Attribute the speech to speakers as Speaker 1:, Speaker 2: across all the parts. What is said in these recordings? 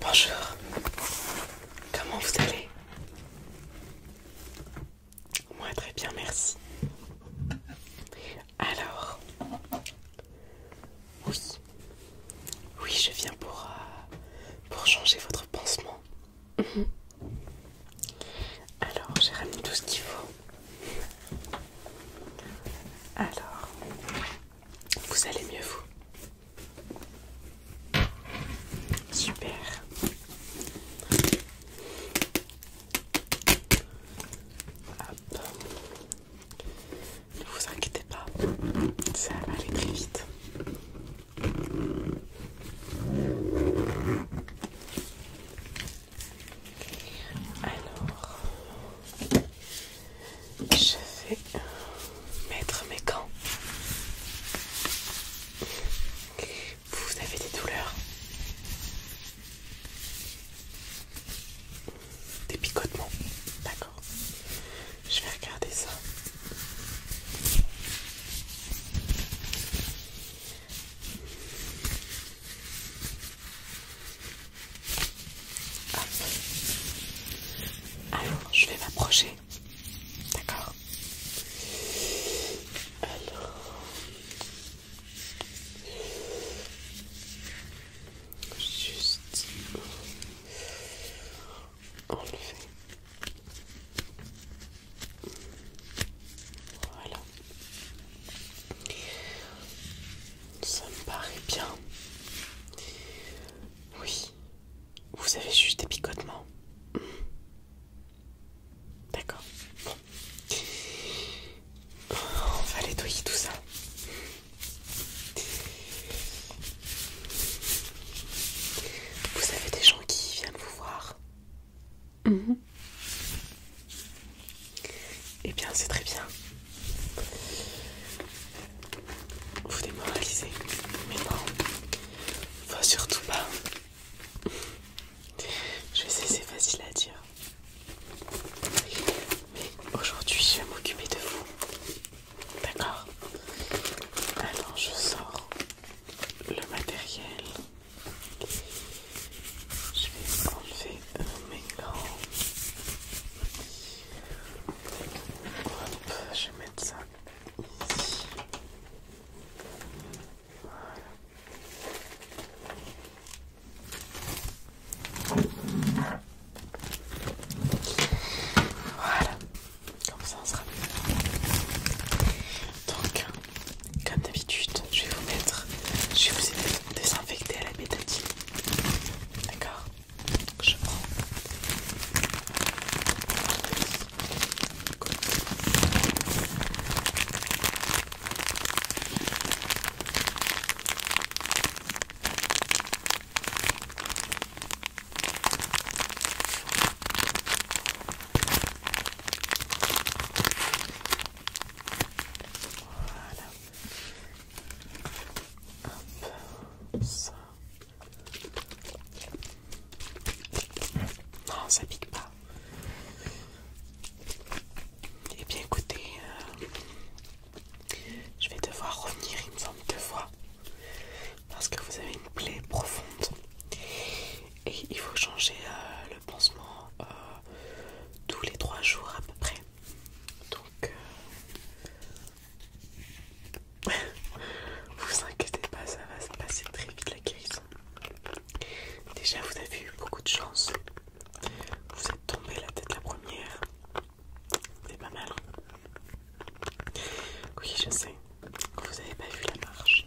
Speaker 1: Bonjour, comment vous allez Moi très bien, merci. Alors, oui, oui, je viens pour, euh, pour changer votre pansement. Mhm. Alors, j'ai ramené tout ce qu'il faut. Alors, vous allez mieux vous Super. Ne vous inquiétez pas, ça va aller très vite. Alors, je vais mettre mes gants. Vous avez des douleurs, des picotements, d'accord. Je vais regarder ça. Alors, je vais m'approcher. D'accord Alors... Juste... Enlever. Voilà. Ça me paraît bien. Oui. Vous avez juste des picotements. Hmm. D'accord. On va nettoyer tout ça. Vous avez des gens qui viennent vous voir et eh bien, c'est très bien. Vous démoralisez, mais non, faut surtout pas. Je sais, c'est facile à dire, mais aujourd'hui, je vais m'occuper de vous. D'accord Alors, je sors le matériel. Je vais enlever mes gants. je vais mettre ça ici. Voilà. Voilà, comme ça on sera bien Donc, comme d'habitude, je vais vous mettre, je vais vous désinfecter à la bétadine. D'accord Je prends ça. Non, ça pique pas. Eh bien, écoutez, euh, je vais devoir revenir, une forme de fois. Parce que vous avez une plaie profonde. Et il faut changer euh, le pansement euh, tous les trois jours à peu près. Donc, euh, vous inquiétez pas, ça va se passer très vite la crise Déjà, vous avez eu beaucoup de chance. Vous êtes tombé la tête la première. C'est pas mal. Oui, je sais. Vous avez pas vu la marche.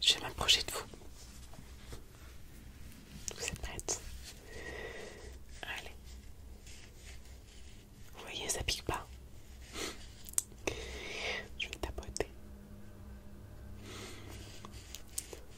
Speaker 1: Je vais m'approcher de vous. Vous êtes prête Allez. Vous voyez, ça pique pas. Je vais tapoter.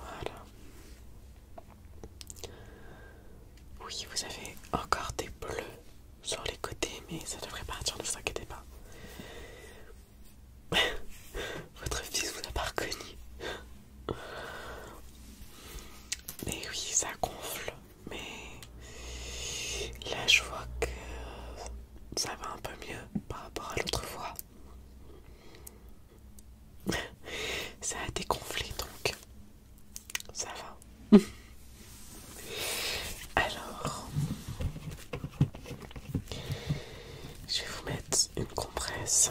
Speaker 1: Voilà. Oui, vous avez encore des bleus sur les côtés, mais ça devrait partir, ne vous inquiétez pas. Votre fils vous a pas reconnu. Mais oui, ça gonfle, mais là je vois que ça va un peu mieux par rapport à l'autre fois. Ça a dégonflé donc. Ça va. Alors, je vais vous mettre une compresse.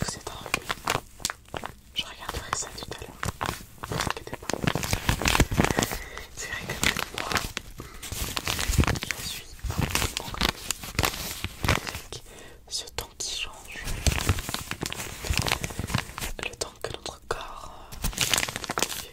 Speaker 1: Vous êtes en enrhumé. Je regarderai ça tout à l'heure. Ne vous inquiétez pas. C'est vrai que moi, je suis encore. avec ce temps qui change. Le temps que notre corps euh, Allez.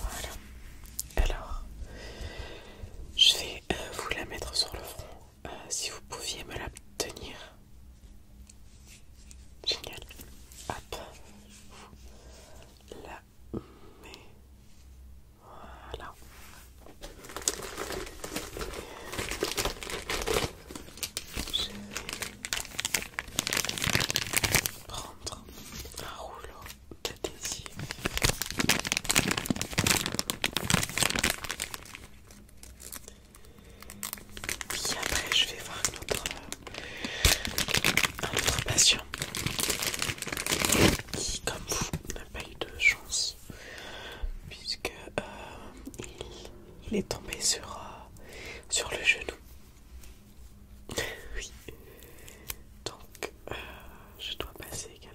Speaker 1: Voilà. Alors, je vais euh, vous la mettre sur le front. Euh, si vous pouviez me la tenir. Génial. Hop. la mets. Voilà. Je vais prendre un rouleau de désir. Et après, je vais voir notre, euh, un autre patient qui, comme vous, n'a pas eu de chance puisque euh, il, est tombé sur, euh, sur le genou. oui. Donc euh, je dois passer également.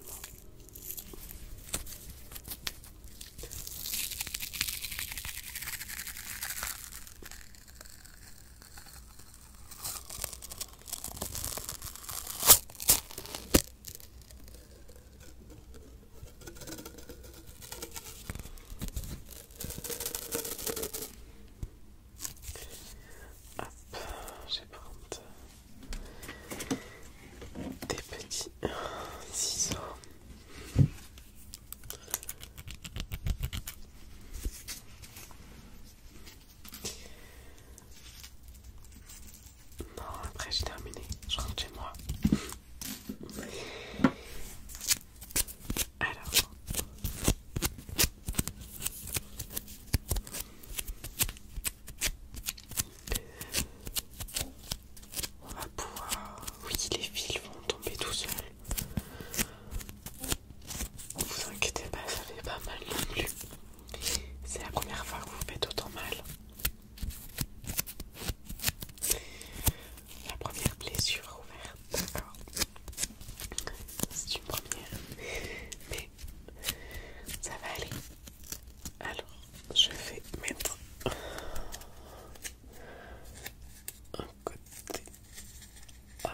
Speaker 1: Hop, je vais prendre des petits ciseaux. Non, après j'ai terminé, je rentre chez moi. Alors. On va pouvoir... Oui, les fils vont tomber tout seuls. Vous inquiétez pas, ça fait pas mal non plus. C'est la première fois que vous faites autant mal. La première blessure ouverte, d'accord. C'est une première, mais ça va aller. Alors, je vais mettre un côté. Hop.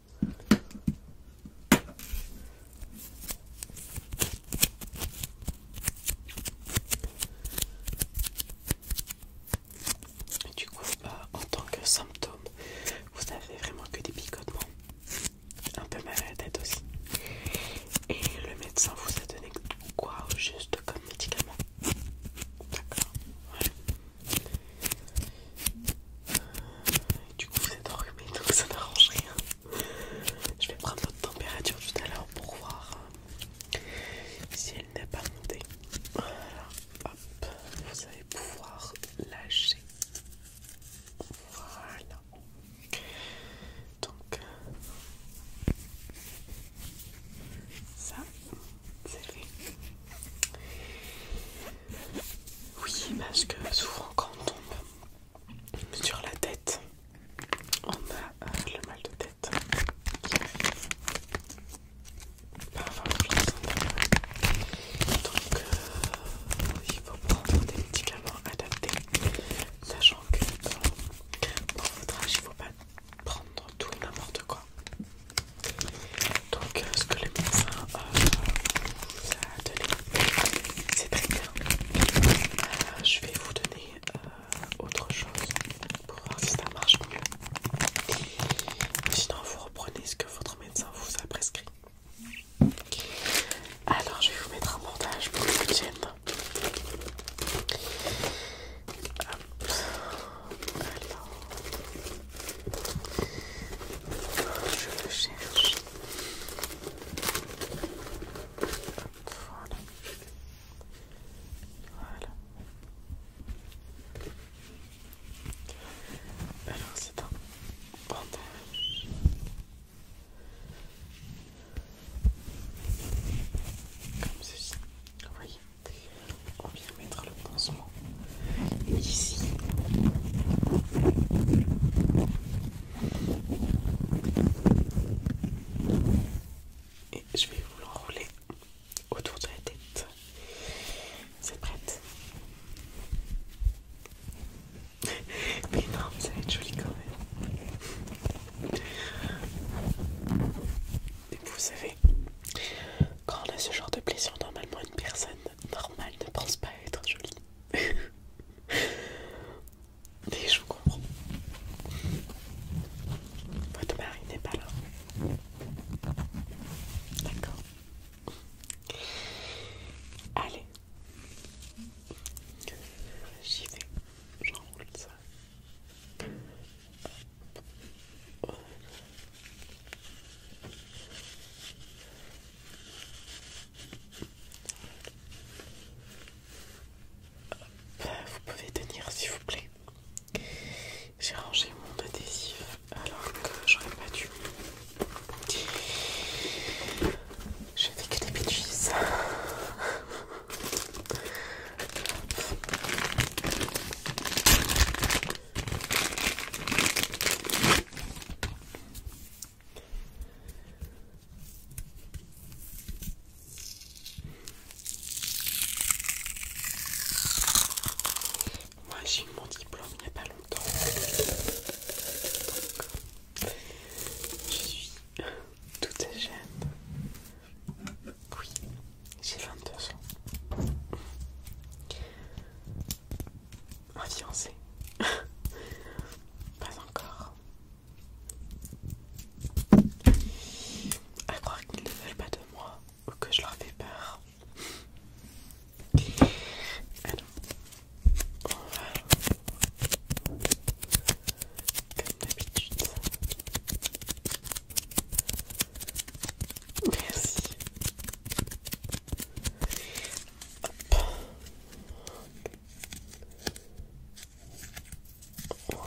Speaker 1: Et du coup, euh, en tant que symptôme, vous n'avez vraiment que des picotements, un peu mal à la tête aussi. Et le médecin vous a donné quoi juste comme médicament D'accord, ouais. Du coup, vous êtes enrhumé donc ça n'arrange rien. Je vais prendre votre température tout à l'heure pour voir euh, si elle n'est pas montée. hop, vous allez pouvoir lâcher. Voilà. Donc, euh, ça, c'est fait. Oui, parce que souvent quand on tombe sur la tête, on a euh, le mal de tête Donc, euh, il faut prendre des médicaments adaptés, sachant que dans pour votre âge, il ne faut pas prendre tout et n'importe quoi. Donc, ce que le médecin vous euh, a donné, c'est très bien. Euh, je vais vous donner euh, autre chose pour voir si ça marche mieux. Sinon, vous reprenez ce que votre médecin vous a prescrit. Alors, je vais vous mettre un montage pour le chaîne. Alors, je le cherche. Voilà. Alors c'est un bandage. Comme ceci. Vous voyez, on vient mettre le pinceau ici, et je vais vous l'enrouler autour de la tête. C'est prête Mais non, ça va être joli quand même. Et vous savez, quand on a ce genre de blessure, normalement une personne normal ne pense pas être jolie. Mais je vous comprends. Votre mari n'est pas là. D'accord. Allez. J'y vais. J'enroule ça vous pouvez tenir s'il vous plaît. J'ai rangé mon adhésif alors que j'aurais pas dû. Je fais que des bêtises. Moi j'ai eu mon diplôme il n'y a pas longtemps. je suis toute jeune. Oui, j'ai 22 ans un fiancé. Pas encore. À croire qu'ils ne veulent pas de moi ou que je leur fais peur. Alors, comme d'habitude. Merci. Voilà.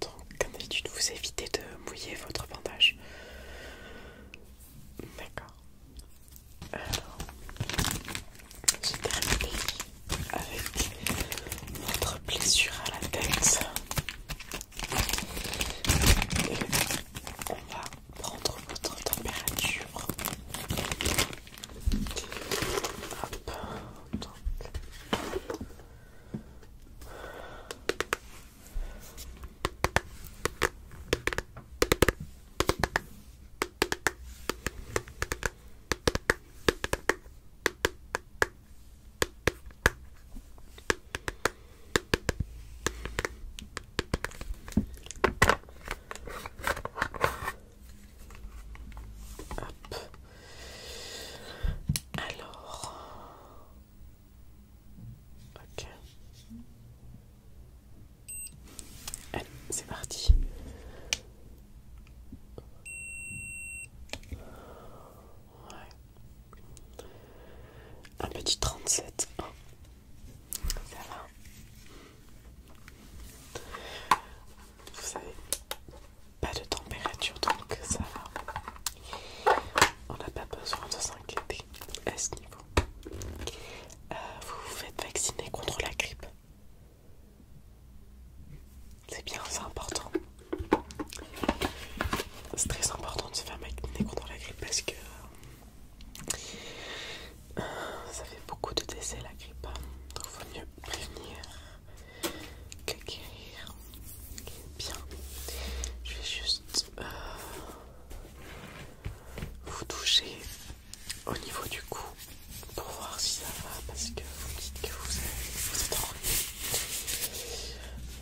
Speaker 1: Donc, comme d'habitude, vous évitez de mouiller votre bandage. D'accord. Alors, se terminé avec notre blessure à la tête. Et on va prendre votre température. Hop. Alors. Ok. Allez, c'est parti. Ouais. Un petit 37. Ça va Vous avez pas de température donc ça va. On n'a pas besoin de s'inquiéter à ce niveau. Euh, vous vous faites vacciner contre la grippe. C'est bien, c'est important. C'est très important de se faire vacciner contre la grippe parce que euh, euh, ça fait beaucoup de décès la grippe, hein. donc vaut mieux prévenir que guérir. Bien, je vais juste euh, vous toucher au niveau du cou pour voir si ça va parce que vous dites que vous, êtes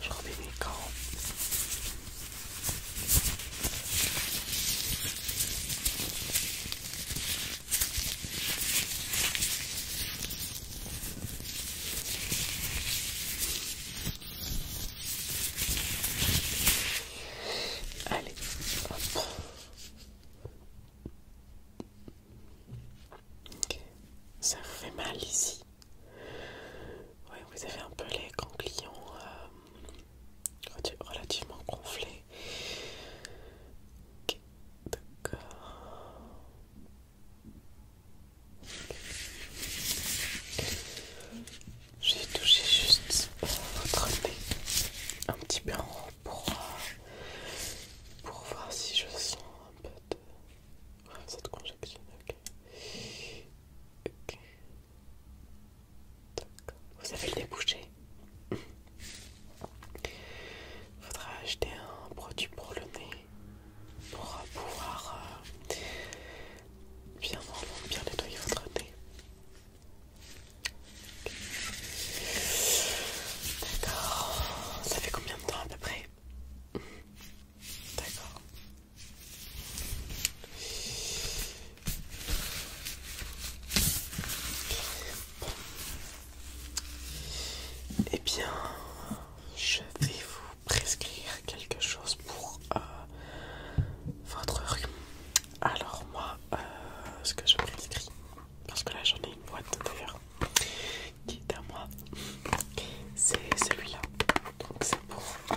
Speaker 1: Je remets mes gants. Allez, Ça vous fait mal ici. Oui, vous avez un peu les ganglions clients. Euh, relativement gonflé. Ok, D'accord. J'ai touché juste votre euh, nez un petit peu en haut euh, pour, voir si je sens un peu de. cette conjection, ok. Ok. Vous avez le débouché. Il faudra acheter un produit pour le nez pour euh, pouvoir vraiment euh, bien nettoyer votre nez. D'accord. Ça fait combien de temps à peu près D'accord et eh bien, je vais vous prescrire quelque chose pour euh, votre rhume. Alors moi, euh, ce que je prescris, parce que là j'en ai une boîte d'ailleurs qui est à moi, c'est celui-là. Donc c'est pour euh,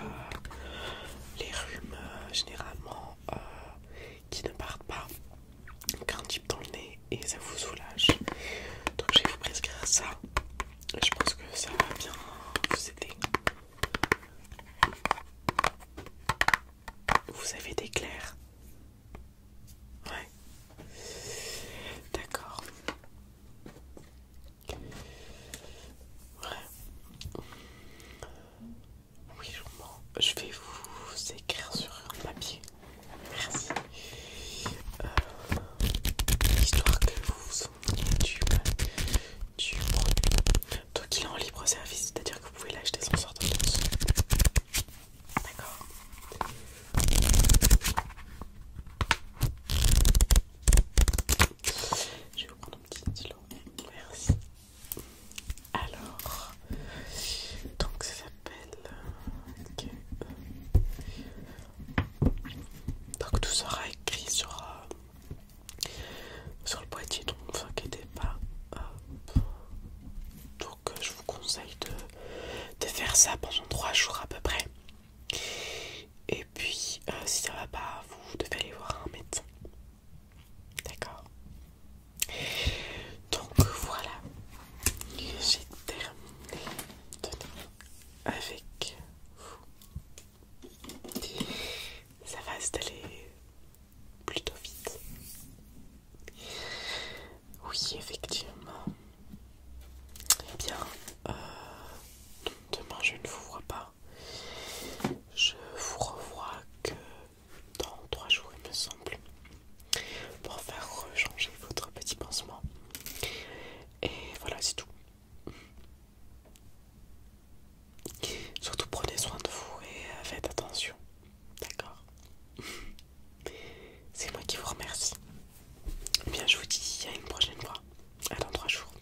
Speaker 1: les rhumes euh, généralement euh, qui ne partent pas qu'un type dans le nez et ça vous soulage. Donc je vais vous prescrire ça. Je pense que ça va bien vous aider. Vous avez des clairs Ouais. D'accord. Ouais. Oui, je vais vous écrire sur un papier. Merci. Euh, histoire que vous vous souveniez du, produit. Donc il est en libre service, c'est-à-dire que vous pouvez l'acheter sans sortir de dessus. D'accord je vous prendre Merci. Alors, donc ça s'appelle. Euh, donc tout sera écrit sur, euh, sur le boîtier, donc ne vous inquiétez pas. Donc euh, je vous conseille de, de faire ça pendant trois jours à peu près. Et puis si ça va pas, vous devez aller voir un médecin. D'accord Donc voilà, j'ai terminé avec vous. Ça va installer plutôt vite. Oui, effectivement. Eh bien, euh, demain je ne vous vois pas. Je vous revois que dans 3 jours, il me semble, pour faire rechanger votre petit pansement. Et voilà, c'est tout. Surtout prenez soin de vous et euh, faites attention. D'accord C'est moi qui vous remercie. bien, je vous dis à une prochaine fois. dans 3 jours.